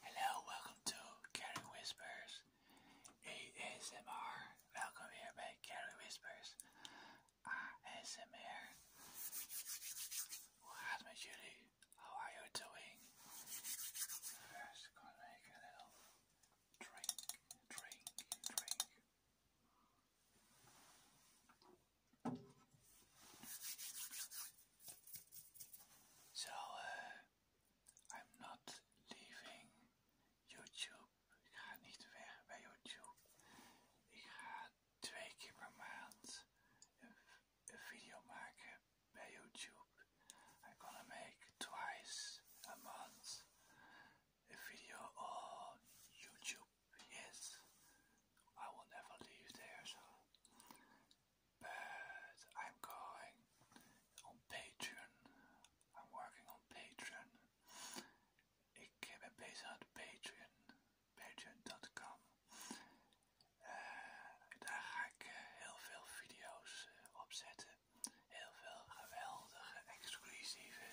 Hello, welcome to Carrie Whispers ASMR. Welcome here by Carrie Whispers ASMR. Well, how's my Julie? How are you doing? First, gonna make a little drink, drink, drink. So uh, I'm not leaving YouTube. Ik ga niet weg YouTube. Ik ga twee keer YouTube. I'm gonna YouTube. I will never leave there. but I'm going on Patreon. I'm working on Patreon. Ik ben bezig aan Patreon, patreon.com. Eh, daar ga ik eh, heel veel video's eh, op zetten. Heel veel geweldige, exclusieve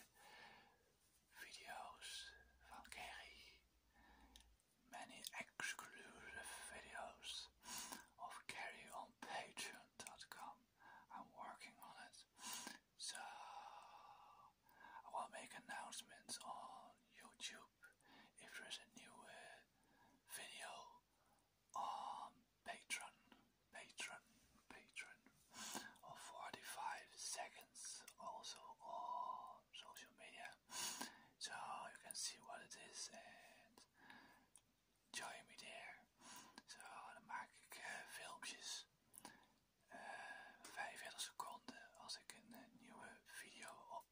video's van Kerry. many exclusive videos of Carrie on Patreon.com. I'm working on it. So I will make announcements on YouTube if there is a new uh, video on Patreon, Patreon, Patreon of 45 seconds also on social media so you can see what it is and join me there. Zo, dan maak ik eh, filmpjes. 45 eh, seconden als ik een eh, nieuwe video op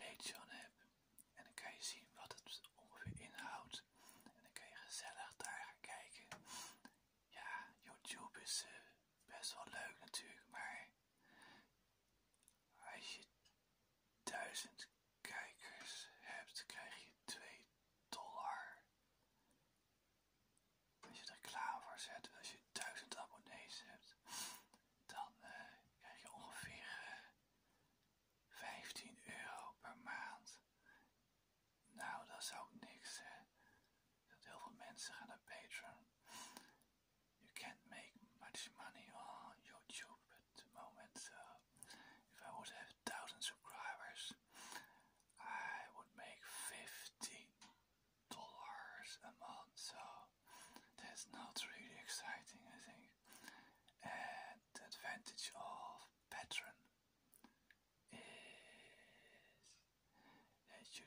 Patreon heb. En dan kan je zien wat het ongeveer inhoudt. En dan kan je gezellig daar gaan kijken ja, YouTube is eh, best wel leuk natuurlijk, maar als je 1000 kijkers hebt, krijg je 2 dollar. Als je er klaar voor zet, als je 1000 abonnees hebt, dan eh, krijg je ongeveer 15 eh, euro per maand. Nou, dat is ook niks, hè. dat heel veel mensen gaan naar Patreon. You can't make much money on YouTube at the moment. if I would have a thousand subscribers, I would make fifteen dollars a month. So that's not really exciting, I think. And the advantage of Patreon is that you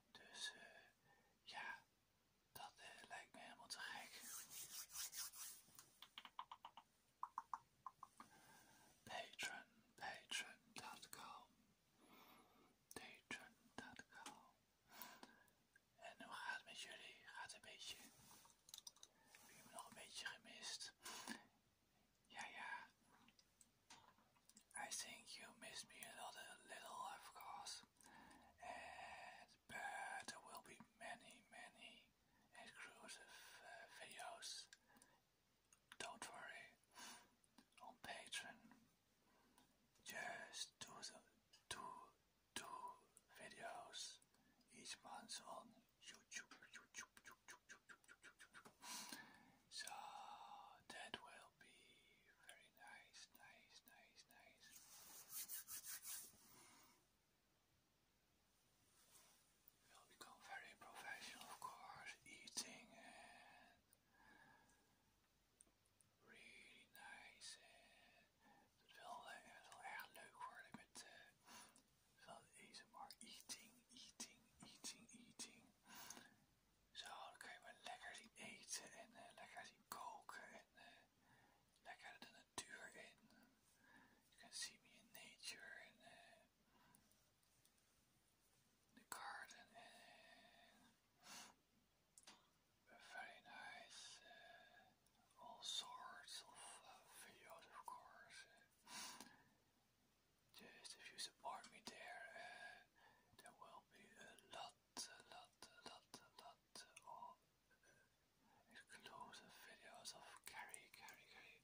Dus eh, ja, dat eh, lijkt me helemaal te gek. Patron, Patreon.com. Patron.com. En hoe gaat het met jullie? Gaat een beetje? Heb je me nog een beetje gemist? Ja, ja. I think you miss me a lot, a little, of course, but there will be many, many exclusive uh, videos. Don't worry, on Patreon. Just do videos each month on YouTube. So that will be very nice, nice, nice, nice. Will become very professional, of course, eating really nice. Het wil, het wil erg leuk worden met so dan kun je maar lekker zien eten en uh, lekker zien koken en eh, lekker de natuur in. You can see me in nature and eh, the garden and very nice, uh, all sorts of videos of course. Just if you support me there, uh, there will be a lot, a lot, a lot, a lot of eh, exclusive video's of Carrie, Carrie, Carrie.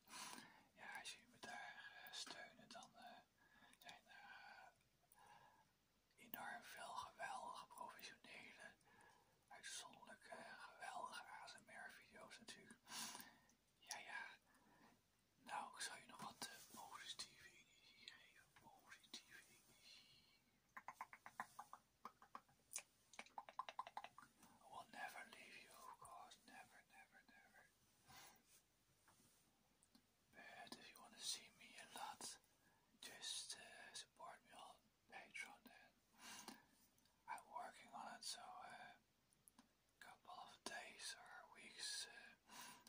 Ja, als jullie me daar steunt eh, steunen, dan zijn er enorm veel geweldige, professionele, uitzonderlijke, geweldige ASMR-video's natuurlijk. Ja, I will eh, never leave you, of Never, never, never. But if you want to see me a lot, just eh, support me on Patreon. I'm working on it, so eh, couple of days or weeks. Uh,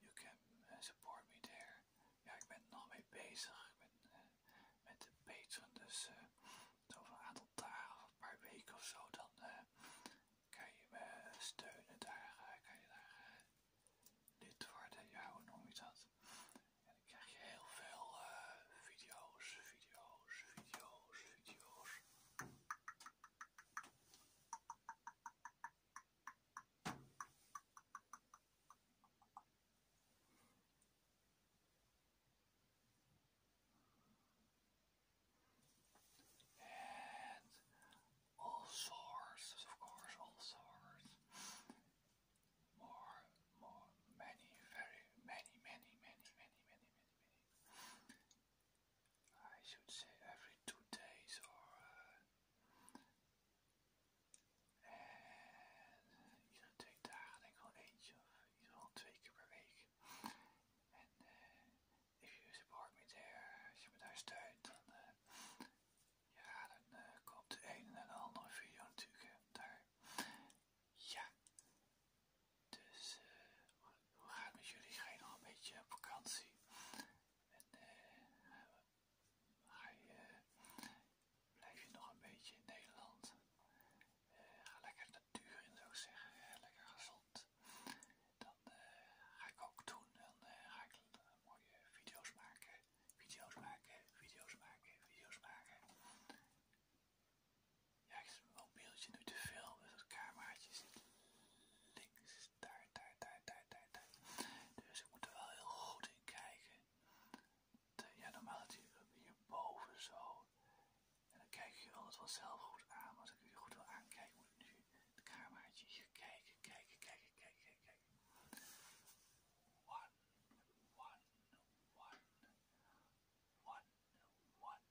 you can uh, support me there. Ja, ik ben nog mee bezig. Ik ben uh, met de patron dus over een aantal dagen of een paar weken of zo, dan kan je me steunen daar. Eh, kan je daar eh, lid worden? Ja, hoe noem je dat? En dan krijg je heel veel eh, video's, video's, video's, video's. And all sources, of course, all sources. More, more, many, very, many, many, many, many, many, many, many. I should say every two days or uh, en twee dagen denk ik wel eentje of in ieder geval twee keer per week. En eh if you support me there, als je me daar steunt, dan, eh, ja, dan eh, komt de ene en de andere video natuurlijk daar. Ja, dus eh, hoe gaat het met jullie? Ga je nog een beetje op vakantie? En eh, blijf je nog een beetje in Nederland? Eh, ga lekker de natuur in, zou ik zeggen. lekker gezond. Dan eh, ga ik ook doen. en ga ik mooie video's maken. Video's maken, video's maken, video's maken. Ja, ik zit mijn mobieltje nu te veel, dus het cameraatje zit links, daar, daar, daar, daar, daar, daar. Dus ik moet er wel heel goed in kijken. Eh, ja, normaal zit hier boven zo. En dan kijk je altijd zelf goed aan, maar als ik je goed wil aankijken, moet ik nu het cameraatje hier kijken, kijken, kijken, kijken, kijken, kijken. One, one, one, one, one.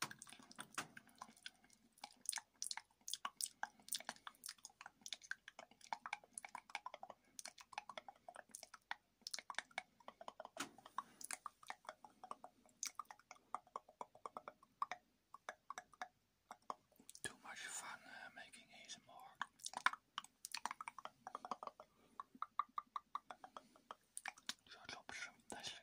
Too much fun uh, making ASMR. Your job's fantastic.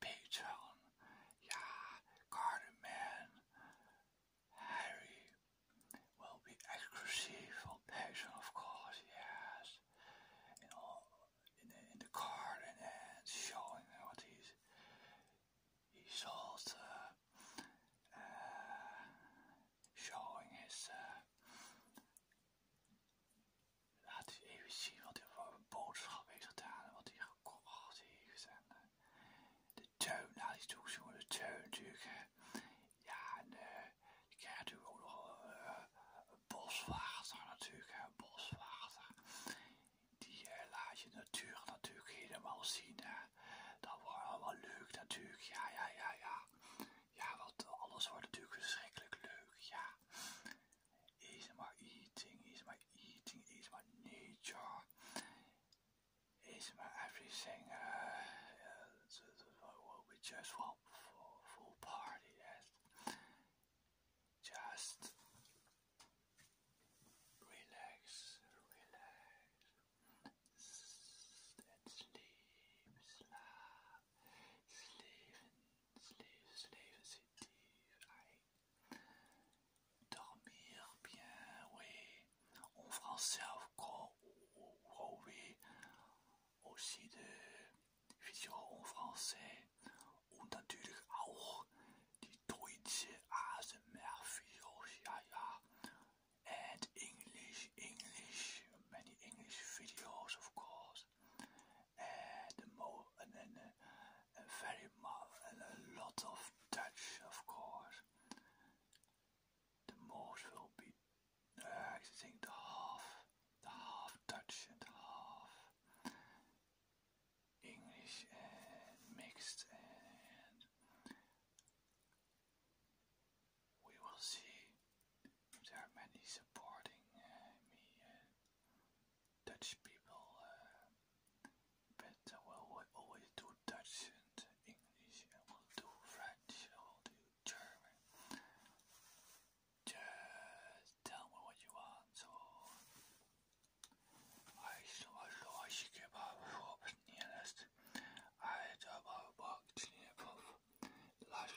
Patron, yeah, Garden Harry will be exclusive Patron, of course, yes. In, the, in the garden showing what he's, he sold, uh, showing his uh, Laat u even zien wat hij voor een boodschap heeft gedaan en wat hij gekocht heeft. En eh, de tuin, nou die toegezoomde de tuin natuurlijk. Ja, en je eh, krijgt natuurlijk ook nog eh, een boswachter natuurlijk, een Die laat je natuur natuurlijk helemaal zien. Hè. Dat wordt allemaal leuk natuurlijk, ja, ja, ja, ja. Ja, want alles wordt natuurlijk verschrikkelijk leuk, ja. is my eating, is my eating, is my nature, is my everything. Uh, uh we just want full, party. Just relax, relax, sleep, sleep. Leven, leven, Dormir bien, oui. En français, of course, oui. Aussi de video en français. En natuurlijk ook die Duitse ASMR-video's, ja, ja. En English, English, many English videos, of course. the mo and then uh, a very and a lot of Dutch, of course. The most will be, uh, I think, the half, the half Dutch and half English and mixed, and we will see there are many supporting uh, me, uh, Dutch people, uh, but I will always do Dutch and English, I will do French, I will do German. Just tell me what you want, so... I still want to watch you give up, I don't know about Last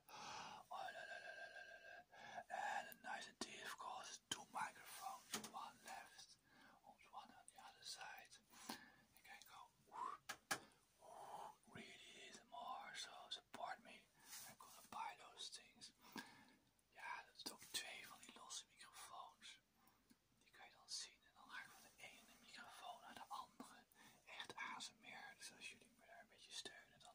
And the nice and of course, is two microphones, one left, one on the other side. You can go really is more, so support me. I'm gonna buy those things. Ja, dat is ook twee van die losse microfoons. Die kan je dan zien. En dan ga ik van de ene microfoon naar de andere. Echt meer. Dus als jullie me daar een beetje steunen, dan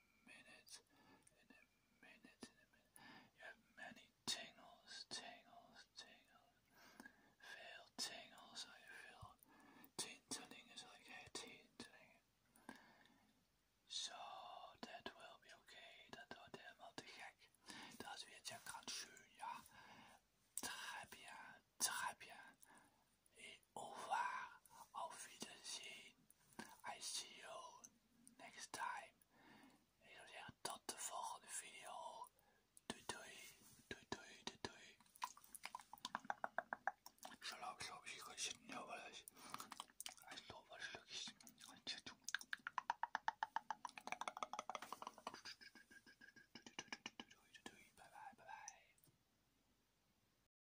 minutes, in a minute, in a minute. You have many tingles, tingles, tingles. Feel tingles, I feel tingling is like hair tingling. So that will be okay, dat wordt helemaal te gek. Dat is weer ja ganz schön, ja. Très bien, très bien. over. Auf Wiedersehen. I see you next time. Ik zou zeggen tot de volgende video. Doei doei. Doei doei doei doei. Ik zal ook zo misschien gaan zitten nu wel Doei doei doei. Bye bye bye bye.